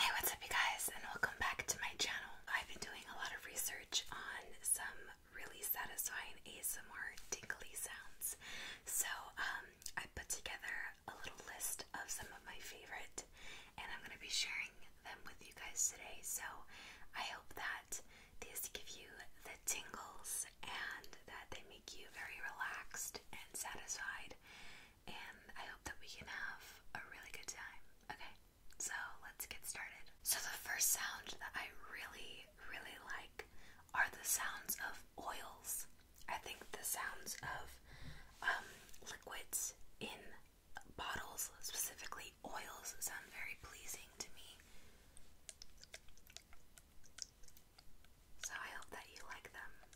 Hey, what's up, you guys, and welcome back to my channel. I've been doing a lot of research on some really satisfying ASMR tingly sounds. So, um, I put together a little list of some of my favorite, and I'm going to be sharing them with you guys today. So, I hope that these give you the tingles and that they make you very relaxed and satisfied and I hope that we can have a really good time. Okay, so let's get started. So, the first sound that I really, really like are the sounds of oils. I think the sounds of um, liquids in bottles, specifically oils, sound very pleasing to me. So, I hope that you like them.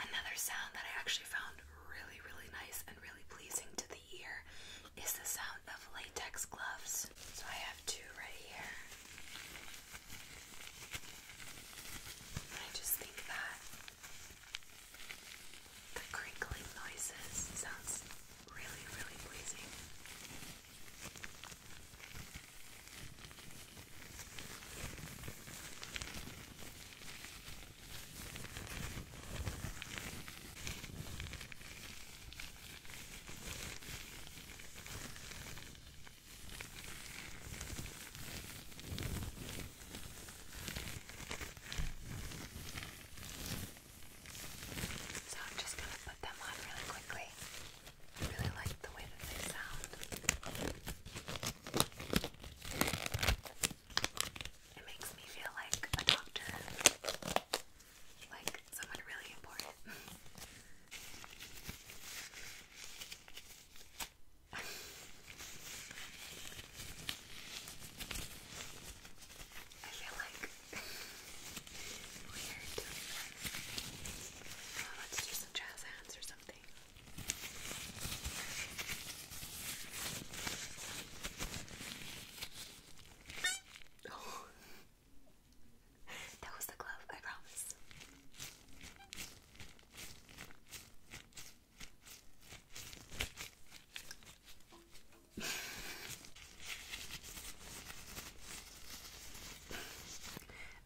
Another sound that I actually found really, really nice and really pleasing to the ear is the sound of latex gloves. So I have two right here. I just think that the crinkling noises sounds really, really pleasing. So I'm just going to put them on really quickly. I really like the way that they sound. It makes me feel like a doctor, like someone really important. I feel like we are doing oh, let's do some jazz hands or something. Oh, that was the glove, I promise. Me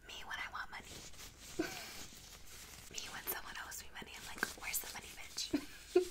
when I want money. Me when someone owes me money, I'm like, where's the money, bitch?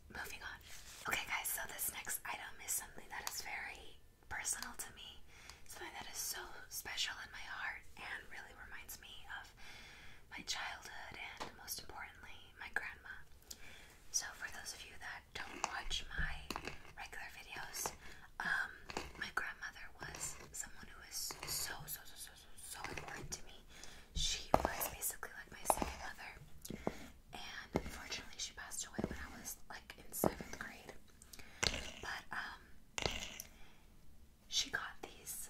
moving on. Okay, guys, so this next item is something that is very personal to me, something that is so special in my heart and really reminds me of my childhood and, most importantly, my grandma. So, for those of you that don't watch my regular videos, um, my grandmother was someone who was so, so, so, so, so important to me. She was basically like my second mother and unfortunately she passed away when I was like in seventh grade. But um she got these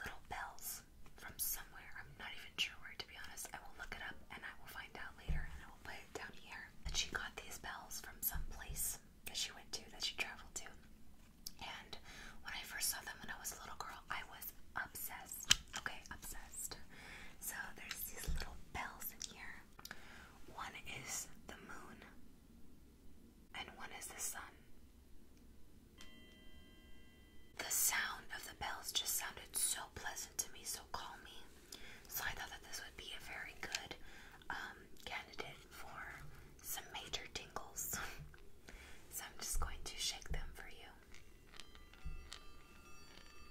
little bells from somewhere. I'm not even sure where to be honest. I will look it up and I will find out later and I will put it down here. And she got these bells from some place that she went to, that she traveled to. And when I first saw them when I was a little girl, I was obsessed. Okay, obsessed. So there's these little bells in here. One is the moon, and one is the sun. The sound of the bells just sounded so pleasant to me, so calming. So I thought that this would be a very good um, candidate for some major tingles. so I'm just going to shake them for you.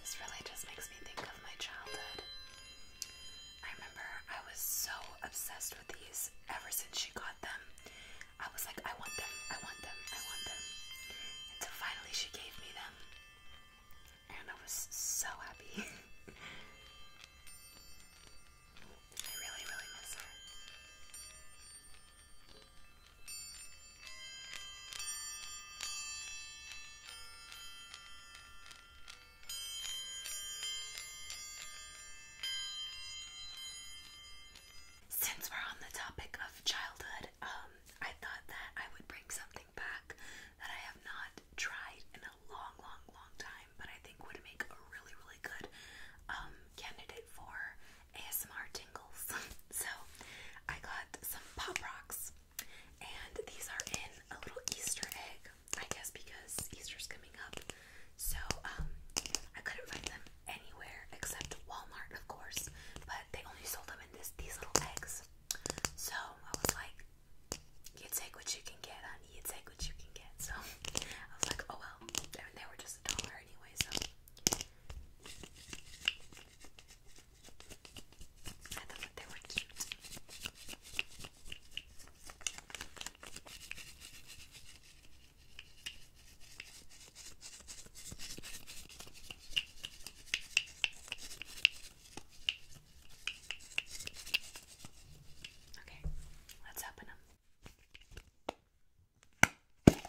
This really just makes me think of my childhood. I remember I was so obsessed with these ever since she got them. I was like, I want them, I want them, I want them. Until finally she gave me them. And I was so happy. I really, really miss her. Since we're on the topic of childhood, um, I thought that I would bring something back that I have not tried in a long, long, long time, but I think would make a really, really good um, candidate for ASMR tingles. so I got some pop rocks, and these are in a little Easter egg. I guess because Easter's coming up. So, um, I couldn't find them anywhere except Walmart, of course, but they only sold them in this these little eggs. So, I was like, you take what you can get, honey, you take what you can get. So, I was like, oh well, they were just a dollar anyway, so. I thought they were cute. Okay, let's open them. Oh.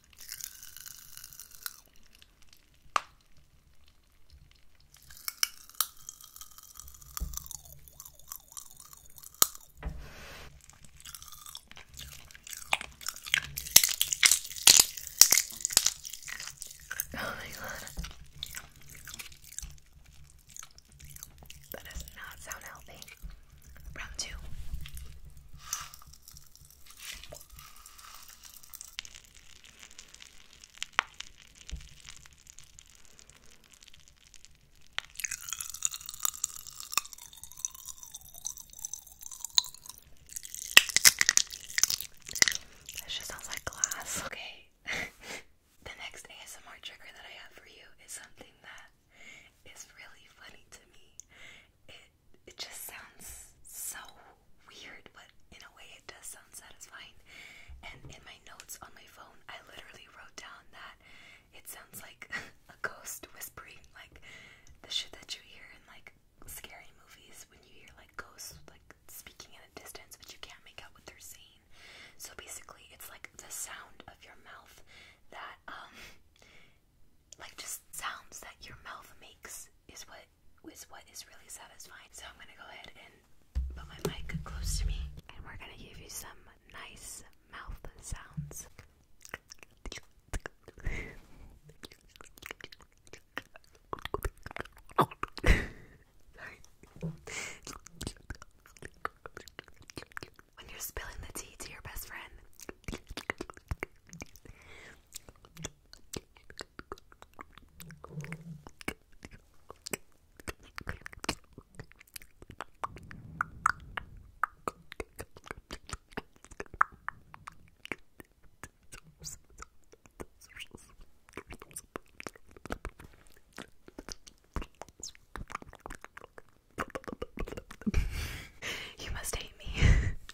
Oh my god. That does not sound healthy. Round two. That just sounds like glass. Okay. the next ASMR trigger that I have for you is something that is really funny to me it, just sounds so weird, but in a way it does sound satisfying. And in my notes on my phone, I literally wrote down that it sounds like a ghost whispering, like the shit that you hear in like scary movies when you hear like ghosts like speaking in a distance, but you can't make out what they're saying. So basically, it's like the sound of your mouth that um like just sounds that your mouth makes is what is what is really satisfying. So I'm gonna go ahead and put my mic close to me, and we're gonna give you some nice mouth sounds. when you're spilling the tea to your best friend you must hate me.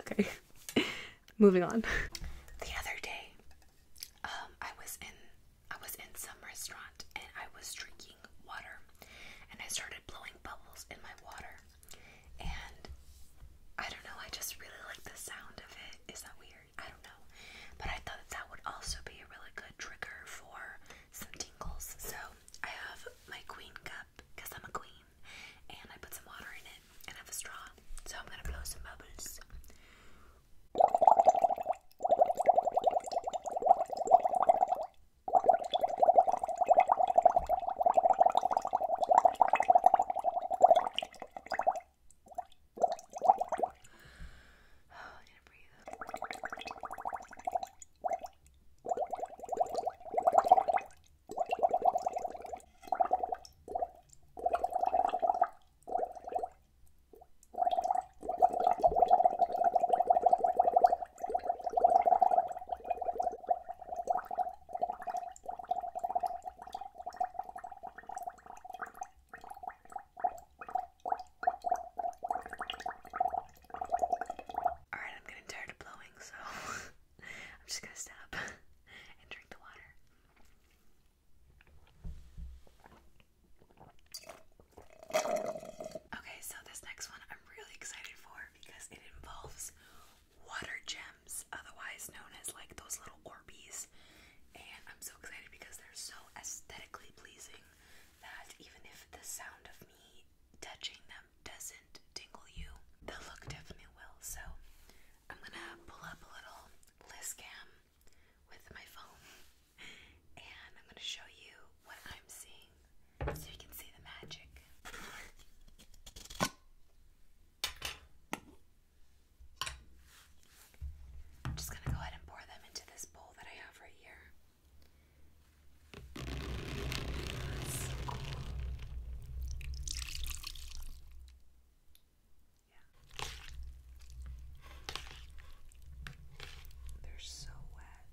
okay, moving on. The other day, um, I was in I was in some restaurant and I was drinking water, and I started blowing bubbles in my water, and I don't know. I just really like the sound of it. Is that weird? I don't know. But I thought that, would also be a really good trigger for some tingles. So I have my queen cup because I'm a queen and I put some water in it and I have a straw. So I'm going to blow some bubbles. Oh, I need to breathe. Alright, I'm getting tired of blowing, so I'm just gonna stop and drink the water. Okay, so this next one I'm really excited for because it involves water gems, otherwise known as like those little Orbeez and I'm so excited because they're so aesthetically pleasing that even if the sound of me touching them doesn't tingle you, the look definitely will. So I'm gonna pull up a little list cam with my phone and I'm gonna show you what I'm seeing so you can see the magic. I'm just going to go ahead and pour them into this bowl that I have right here. Yeah. They're so wet.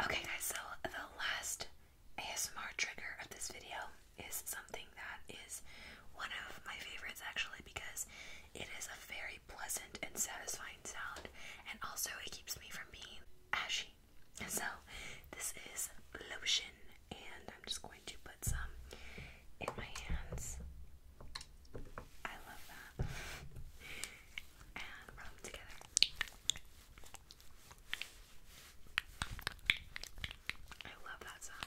Okay, guys, so the last ASMR trigger of this video is something that is one of my favorites actually because it is a very pleasant and satisfying sound, and also it keeps me from being ashy. So, this is lotion, and I'm just going to put some in my hands. I love that. and rub together. I love that sound.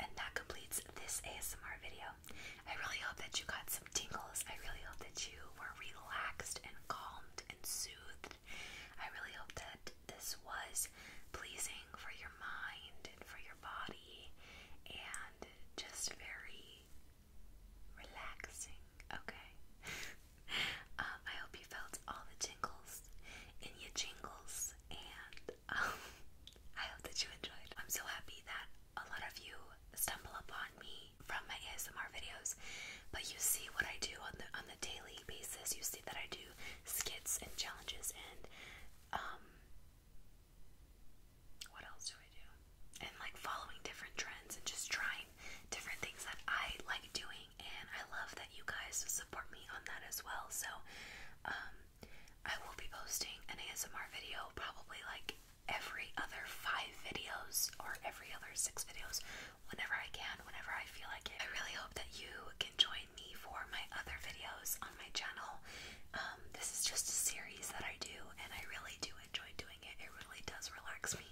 And that completes this ASMR video. I really hope that you got some tingles. I really hope that you were relaxed and calmed and soothed. I really hope that this was pleasing for your mind and for your body and just very relaxing. Okay. Um, I hope you felt all the tingles in your jingles and um, I hope that you enjoyed. I'm so happy that a lot of you stumble upon me from my ASMR videos, but you see what I do on the on the daily basis. You see that I do skits and challenges and um what else do I do? And like following different trends and just trying different things that I like doing and I love that you guys support me on that as well. So um, I will be posting an ASMR video probably like every other five videos or every other six videos whenever I can, whenever I feel like it. I really hope that you can join me for my other videos on my channel. Um, this is just a series that I do and I really do enjoy doing it. It really does relax me,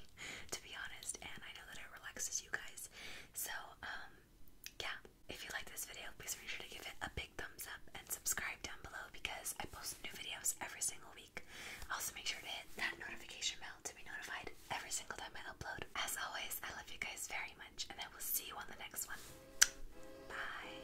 to be honest, and I know that it relaxes you guys. So, um, yeah, if you like this video, please make sure to give it a big thumbs up subscribe down below because I post new videos every single week. Also, make sure to hit that notification bell to be notified every single time I upload. As always, I love you guys very much, and I will see you on the next one. Bye.